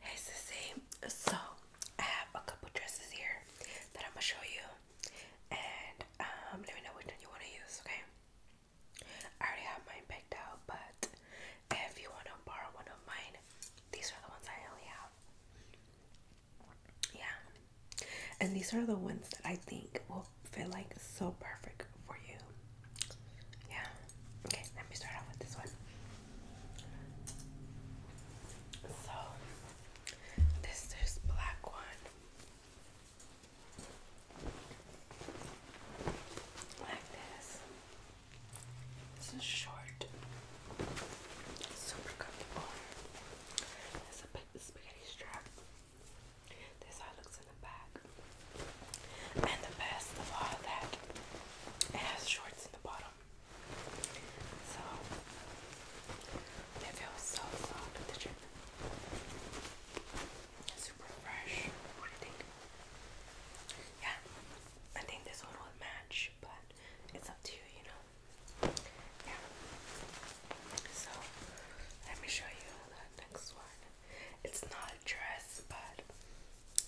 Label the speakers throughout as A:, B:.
A: Hey Sissy, so I have a couple dresses here that I'm gonna show you, and um, let me know which one you want to use, okay? I already have mine picked out, but if you want to borrow one of mine, these are the ones I only have. Yeah, and these are the ones that I think will Feel fit like so perfect for you. Yeah. Okay, let me start off with this one. So this this black one. Like this. This is short. Super comfortable. It's a big spaghetti strap. This how it looks in the back. And the best of all that, it has shorts in the bottom. So, it feels so soft with the drip. Super fresh. Yeah, I think this one will match, but it's up to you, you know. Yeah. So, let me show you the next one. It's not a dress, but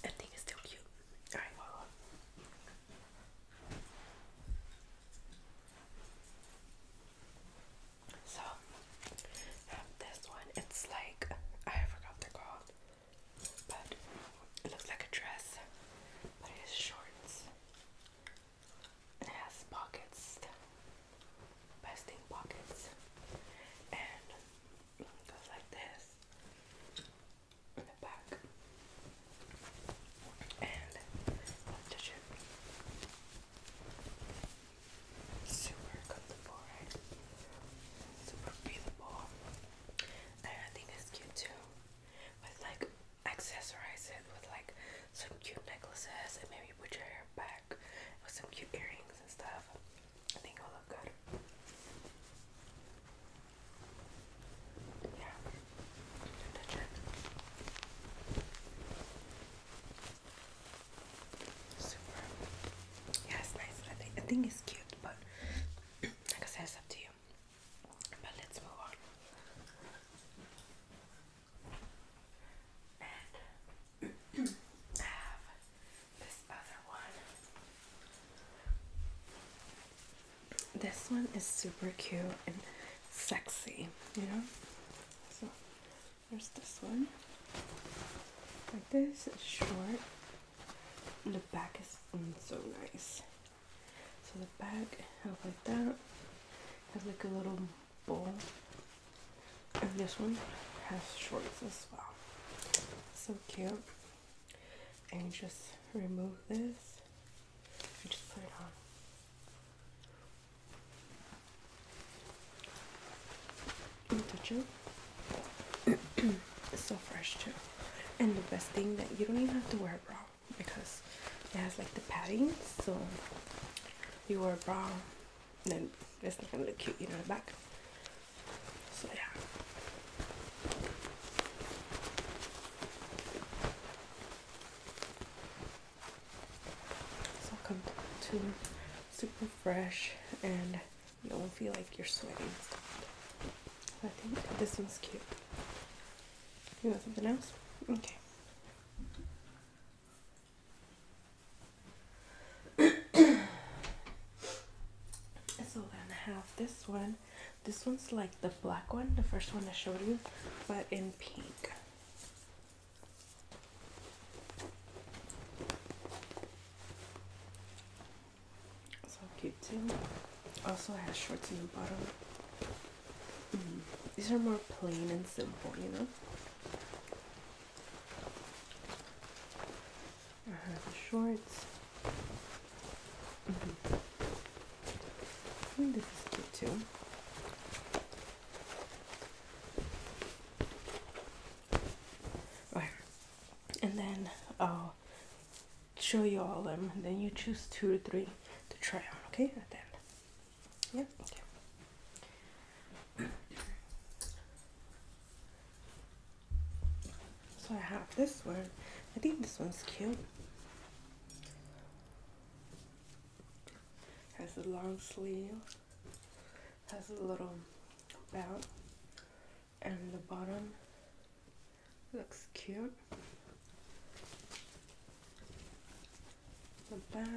A: I think it's still cute. Alright, hold So, um, this one. It's like, I forgot they're called, but it looks like a dress, but it shorts has pockets, vesting pockets, and goes like this in the back. And the ship. Super comfortable, Super breathable. I think it's cute too. With like accessorize it with like some cute necklaces and maybe put your hair back with some cute earrings and stuff. I think it'll look good. Yeah. Super. Yeah, it's nice. I think it's cute, but like I said, it's up to you. But let's move on this one. is super cute and sexy, you know? So there's this one. Like this, it's short. The back is mm, so nice. So the back, have like that. has like a little and this one has shorts as well. So cute. And just remove this just put it on. Touch it. it's so fresh too. And the best thing that you don't even have to wear a bra because it has like the padding so you wore a bra, then it's not gonna look cute, you know, the back. So yeah. So come to super fresh and you don't feel like you're sweating. I think this one's cute. You want something else? Okay so then have this one. This one's like the black one, the first one I showed you, but in pink. So cute too. Also has shorts in the bottom. These are more plain and simple, you know. I have the shorts. Mm this is cute too. Right. And then I'll show you all of them, and then you choose two or three to try on, okay? At the yeah. So I have this one. I think this one's cute. Has a long sleeve. Has a little belt. And the bottom looks cute the back.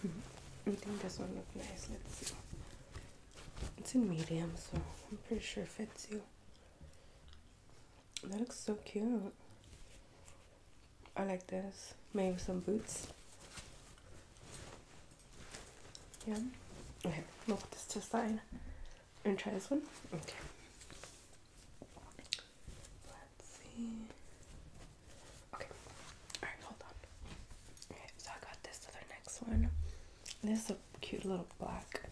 A: Hmm, I think this one looks nice. Let's see. It's in medium, so I'm pretty sure it fits you. That looks so cute. I like this. Maybe some boots. Yeah. Okay, we'll put this to the side and try this one. Okay. Let's see. Okay. Alright, hold on. Okay, so I got this other next one. This is a cute little black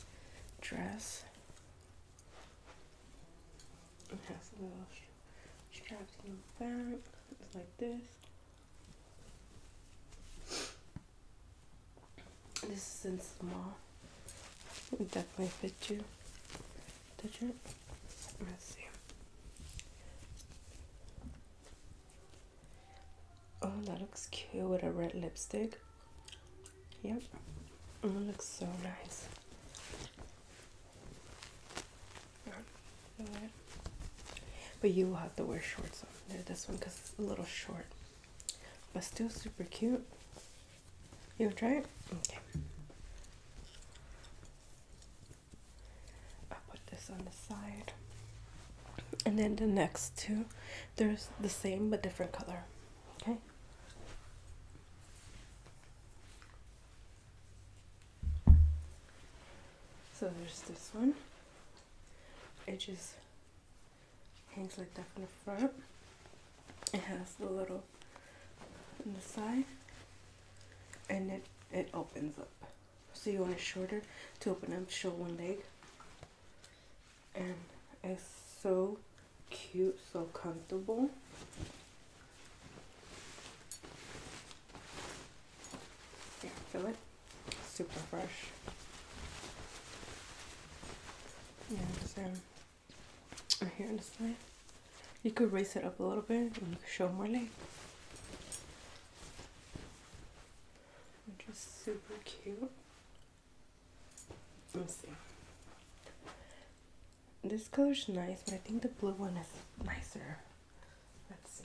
A: dress. It has a little straps in the back. It's like this. This is in small. It would definitely fit you. Touch it. Let's see. Oh, that looks cute with a red lipstick. Yep. It looks so nice. But you will have to wear shorts under this one because it's a little short. But still super cute. You'll try it? Okay. I'll put this on the side. And then the next two, they're the same but different color. Okay. So there's this one. It just hangs like that from the front. It has the little on the side and it, it opens up. So you want it shorter to open up, show one leg. And it's so cute, so comfortable. Here, feel it? Super fresh. Yeah, just um, right here on the side. You could raise it up a little bit and show more leg. Which super cute. Let's see. This color's nice, but I think the blue one is nicer. Let's see.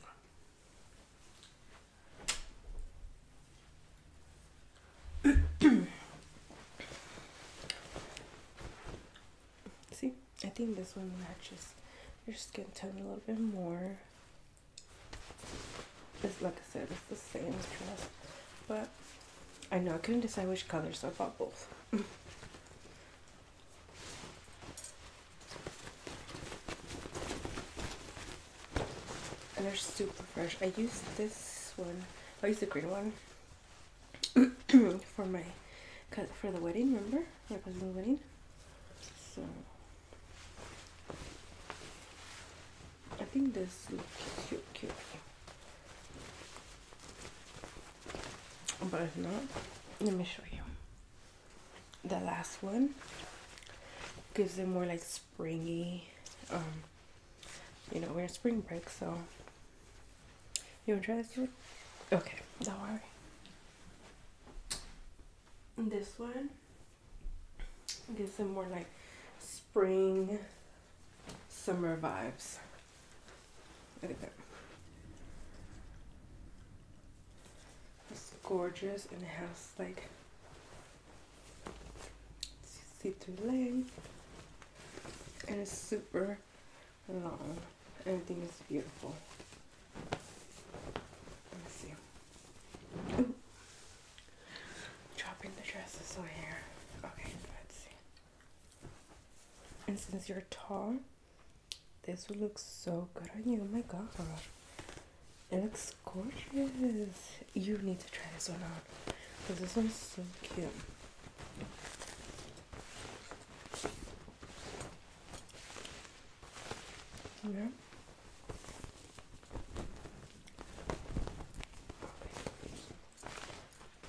A: See, I think this one matches your skin tone a little bit more. It's like I said, it's the same dress, but I know I couldn't decide which color, so I bought both. And they're super fresh. I used this one. I used the green one for my for the wedding. Remember, my cousin's wedding. So I think this looks cute, cute. But if not, let me show you the last one gives it more like springy. Um, you know, we're in spring break, so you wanna try this one? Okay, don't worry. this one gives it more like spring, summer vibes. Look at that. It's gorgeous and it has like see-through legs, and it's super long. Everything is beautiful. Let me see. Ooh. Dropping the dresses over here. Okay, let's see. And since you're tall, this one looks so good on you. Oh my god. It looks gorgeous. You need to try this one on, Because this one's so cute. Yeah.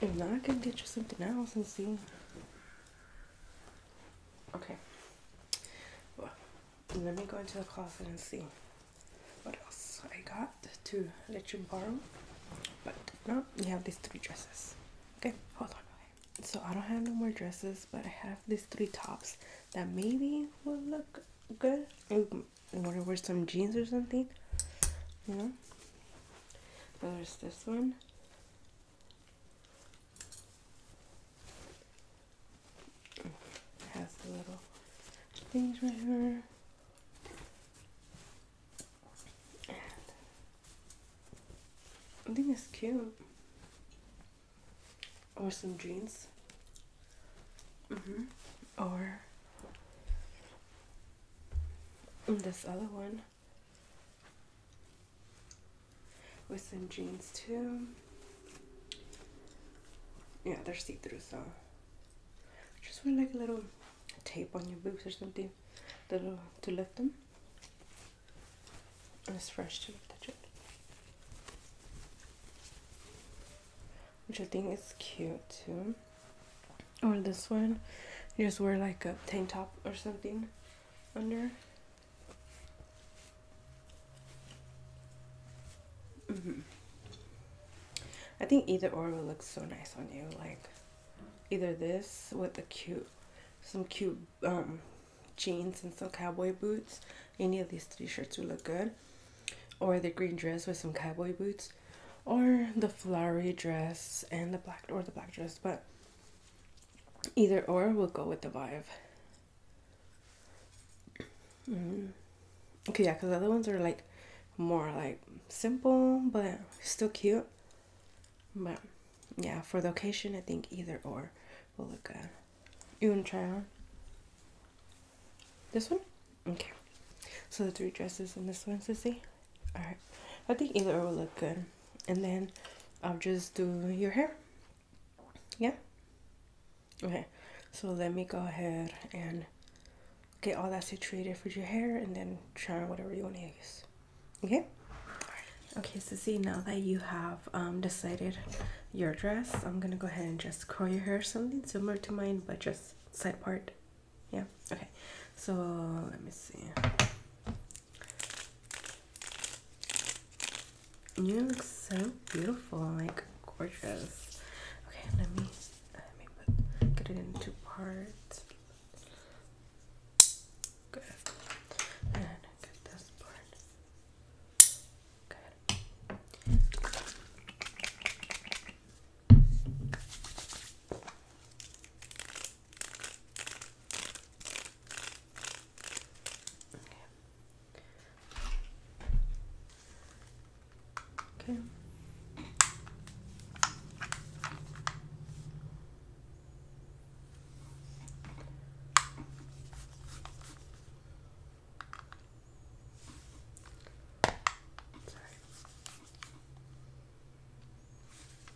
A: If not, I can get you something else and see. Okay. Well, let me go into the closet and see what else I got to let you borrow. But no, you have these three dresses. Okay, hold on. So I don't have no more dresses, but I have these three tops that maybe will look good. I want to wear some jeans or something, you know? There's this one, has the little things right here. I think it's cute. Or some jeans. Mm -hmm. Or this other one with some jeans too. Yeah, they're see-through, so just wear like a little tape on your boots or something to, to lift them. And it's fresh to touch it. Which I think is cute too. Or this one, just wear like a tank top or something under. Mm -hmm. I think either or would look so nice on you. Like either this with the cute, some cute um, jeans and some cowboy boots. Any of these t shirts would look good. Or the green dress with some cowboy boots. Or the flowery dress and the black, or the black dress. But Either or, we'll go with the vibe. Mm-hmm. Okay, yeah, because the other ones are like more like simple, but still cute. But yeah, for the occasion, I think either or will look good. You want to try on? This one? Okay. So the three dresses and this one, Sissy? Alright. I think either will look good and then I'll just do your hair yeah okay so let me go ahead and get all that situated for your hair and then try whatever you want to use okay Okay, so see now that you have um, decided your dress, I'm gonna go ahead and just curl your hair something similar to mine, but just side part. Yeah, okay. So let me see. You look so beautiful, like gorgeous. Okay, let me let me put, get it into parts. Good. And get this part. Good. Okay. Sorry.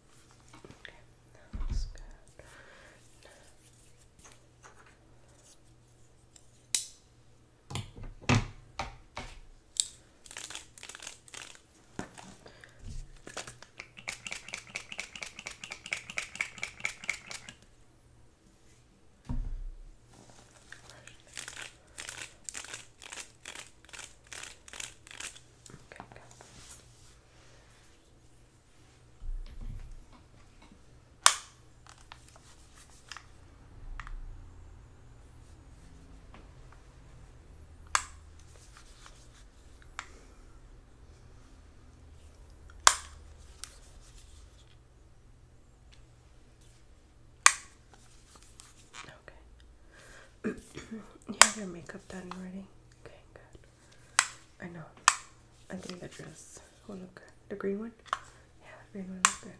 A: Okay, that good. Okay, Okay. you have your makeup done already? Okay, good. I know. I think the dress will look The green one? Yeah, the green one looks good.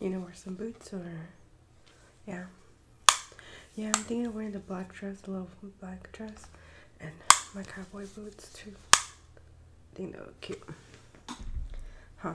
A: You know, to wear some boots or yeah. Yeah, I'm thinking of wearing the black dress, the little black dress and my cowboy boots too. I think they look cute. Huh.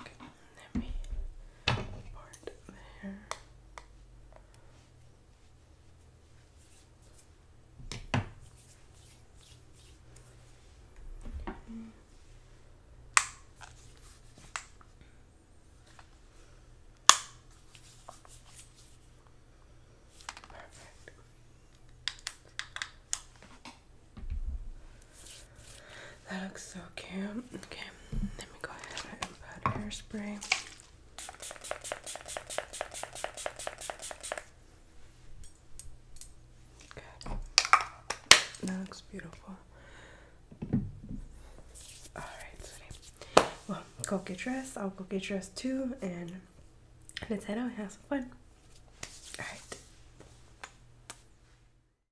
A: Okay, let me part there. Mm. Perfect. That looks so cute. Okay, let me go ahead and put hairspray. Good. That looks beautiful. Alright, Well, go get dressed. I'll go get dressed too, and let's head out and have some fun. Alright.